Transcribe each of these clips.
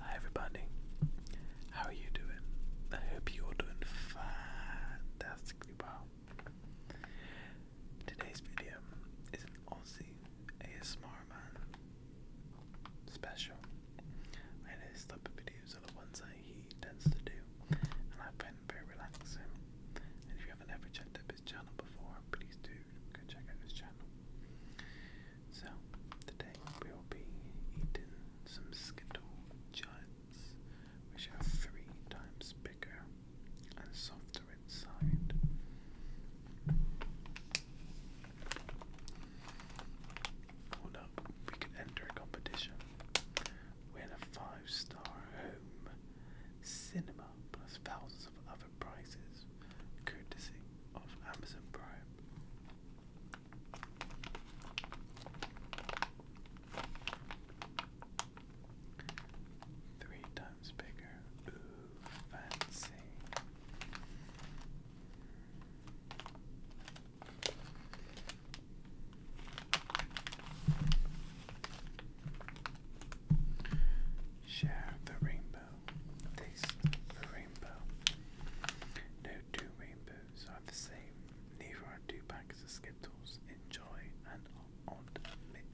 Hi everybody, how are you doing? I hope you're doing fantastically well. Today's video is an Aussie ASMR man special. I know this type videos are the ones that he tends to do and I find very relaxing. And if you haven't ever checked up his channel before, please do go check out his channel. So, today we will be eating some Skittle Giants, which are three times bigger and softer inside. Hold up, we can enter a competition. Win a five star home cinema plus thousands of other prices courtesy of Amazon Prime. Three times bigger. Ooh, fancy. Share the rainbow rainbow. Taste the rainbow. No two rainbows are the same. Neither are two packs of Skittles. Enjoy an odd mix.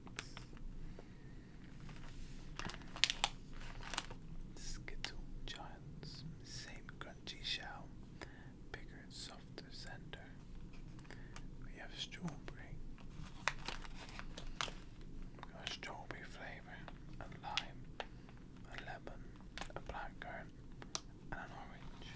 Skittle Giants. Same crunchy shell. Bigger, softer center. We have strawberry. we strawberry flavour flavor, a lime, a lemon, a blackcurrant, and an orange.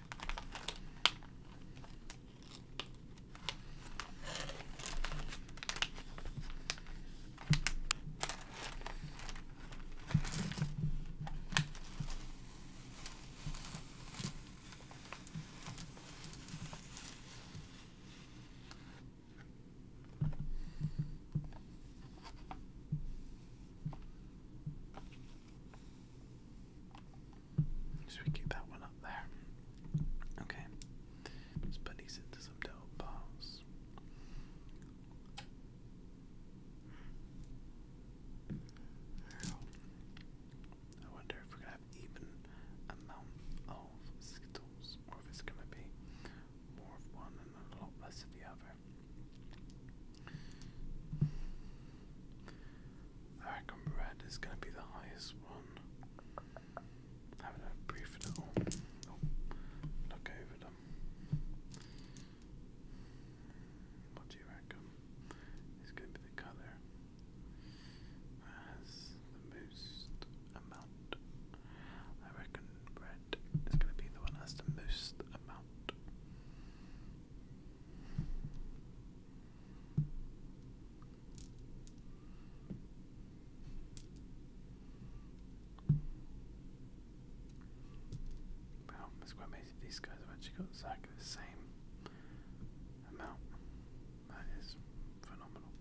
So we keep that one up there. Okay. Let's put these into some double bars. I wonder if we're gonna have even amount of roles, or it's going to be more of one and a lot less of the other. I reckon red is going to be the highest one. Having a brief little look over them. What do you reckon is going to be the colour? has the most amount. I reckon red is going to be the one that has the most amount. Wow, it's quite amazing. These guys have actually got exactly the same amount. That is phenomenal.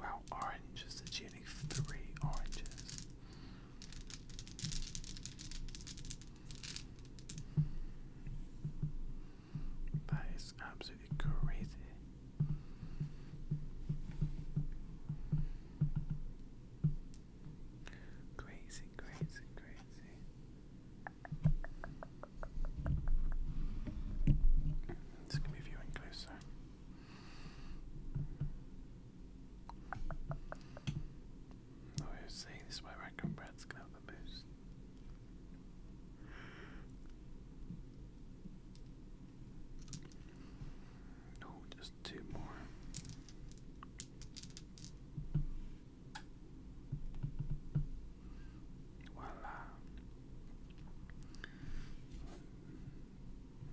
Wow, oranges, it's three oranges. That is absolutely crazy. Crazy, crazy, crazy. This can be viewing closer. Oh, you see, this is where Rankin Brad's gonna the boost. Oh, just two more. Voila.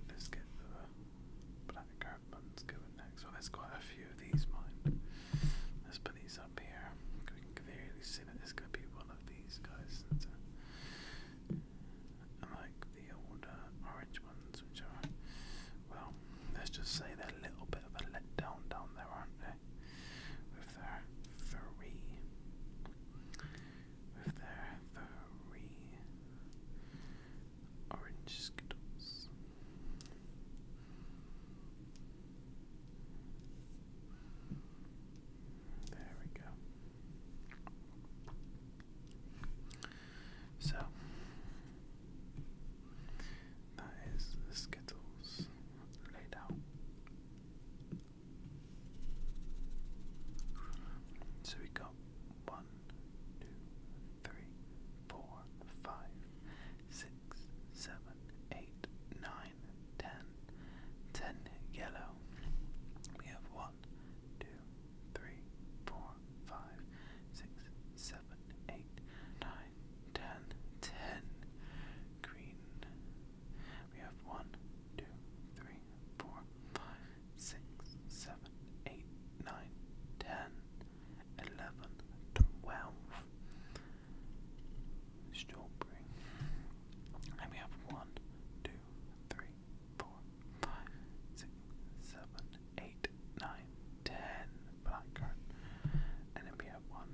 Let's get the black curve going next. Well, there's quite a few of these, mind. Let's put these up here. We can clearly see that there's going be one of these guys. Unlike the old orange ones, which are, well, let's just say they're a little bit of a letdown down there, aren't they? With their three, with their three orange skittles. There we go. So, that is the Skittles laid out. So we got one, two, three, four, five, six, seven, eight, nine, ten. Ten yellow. We have one, two, three, four, five, six, seven, eight, nine, nine, ten, ten. Green. We have one, two, three, four, five, six, seven, eight, nine, ten, eleven, twelve. Strawberry. And we have one, two, three, four, five, six, seven, eight, nine, ten blackcurrant. And then we have one,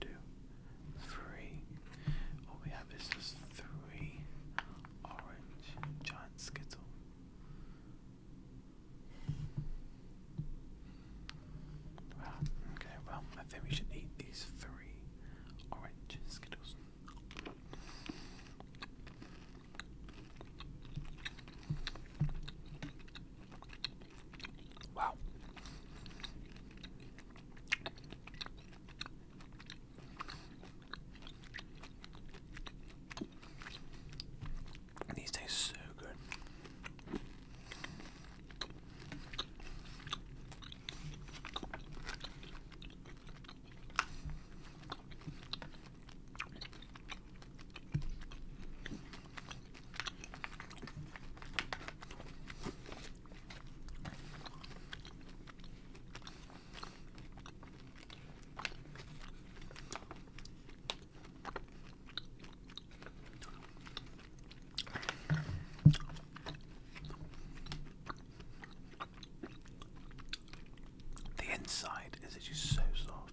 two, three. All we have is just three orange giant skittle. Well, ah, okay, well, I think we should eat these three orange skittles. Wow. These taste so good. The inside is just so soft.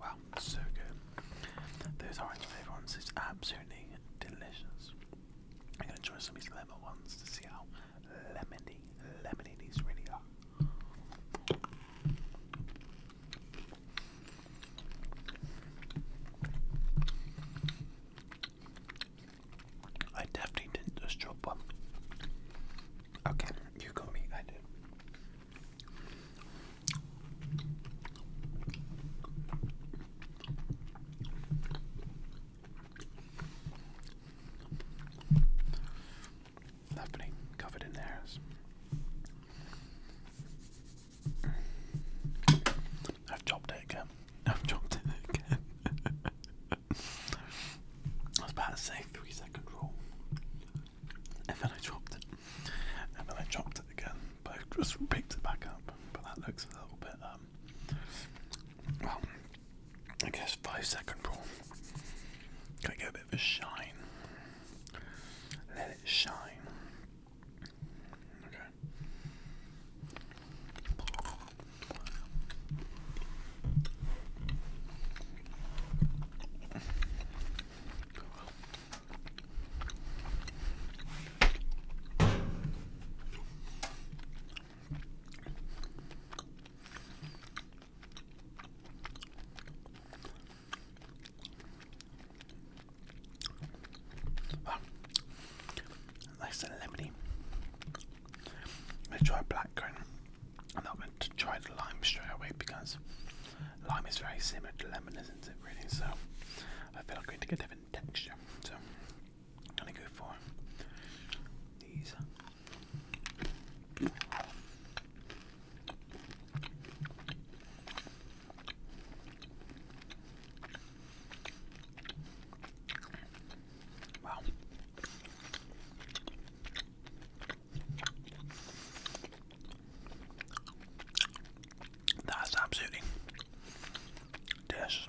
Wow, so good. Those orange flavour ones is absolutely delicious. I'm gonna try some of these lemon ones to see how lemony, lemony these really are. I definitely didn't just drop one. Okay, you got me, I did happening covered in hairs. I've chopped it again. I've chopped it again. I was about to say three second rule. And then I chopped it. And then I chopped it again. But just picked it back up. But that looks a little bit um, well I guess five second rule. Can I get a bit of a shine. Let it shine. Okay. Well, ah. nice and lemony. gonna try black I'm not going to try the lime straight away because lime is very similar to lemon, isn't it? Really, so I feel I'm going to get different texture. So I'm for these. Wow. That's absolutely delicious.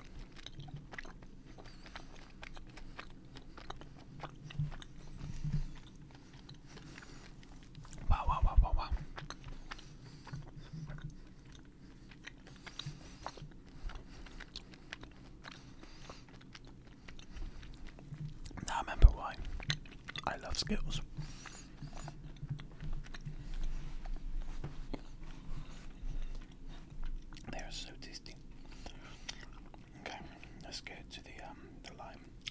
Wow, wow, wow, wow, wow. Now I remember why I love Skittles. They are so tasty. Okay, let's get to the um the lime.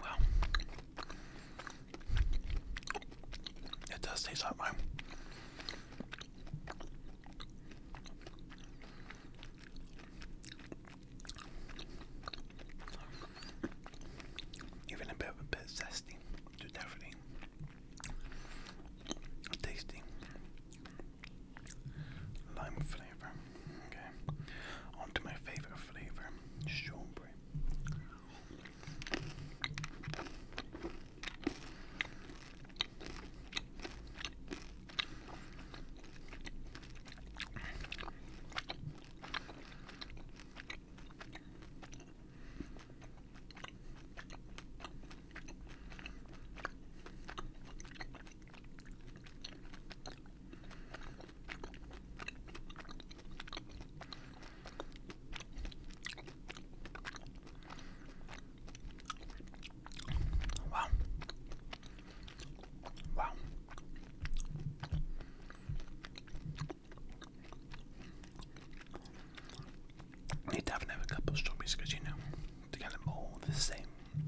Well, it does taste like mine. Even a bit of a bit zesty to Tasty. Lime flavour. Okay. On my favourite flavour, strawberry. Wow. Wow. Need to have another cup strawberries because you know to get them all the same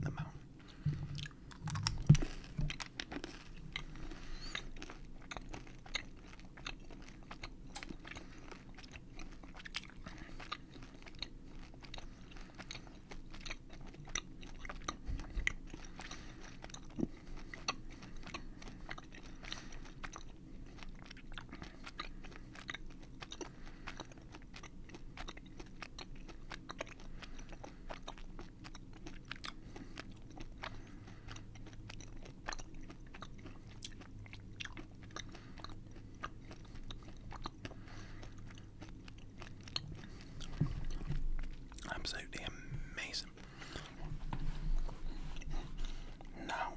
amount. Absolutely amazing. Now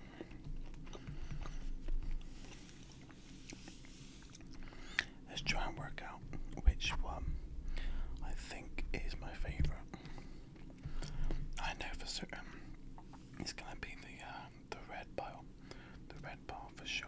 Let's try and work out which one I think is my favourite. I know for certain it's gonna be the uh, the red ball, the red ball for sure.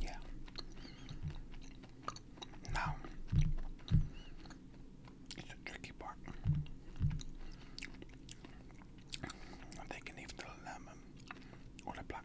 Yeah. Now, it's a tricky part. I'm taking even lemon or the black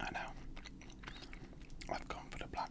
I know. I've gone for the black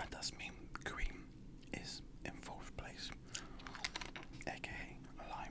And thus mean green is in fourth place, aka lime.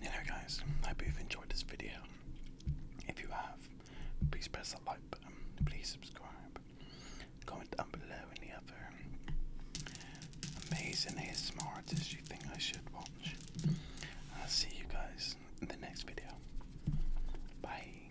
Hello guys, hope you've enjoyed this video. If you have, please press that like button, please subscribe, comment down below any other amazing ASMR you think I should watch. I'll see you guys in the next video. Bye.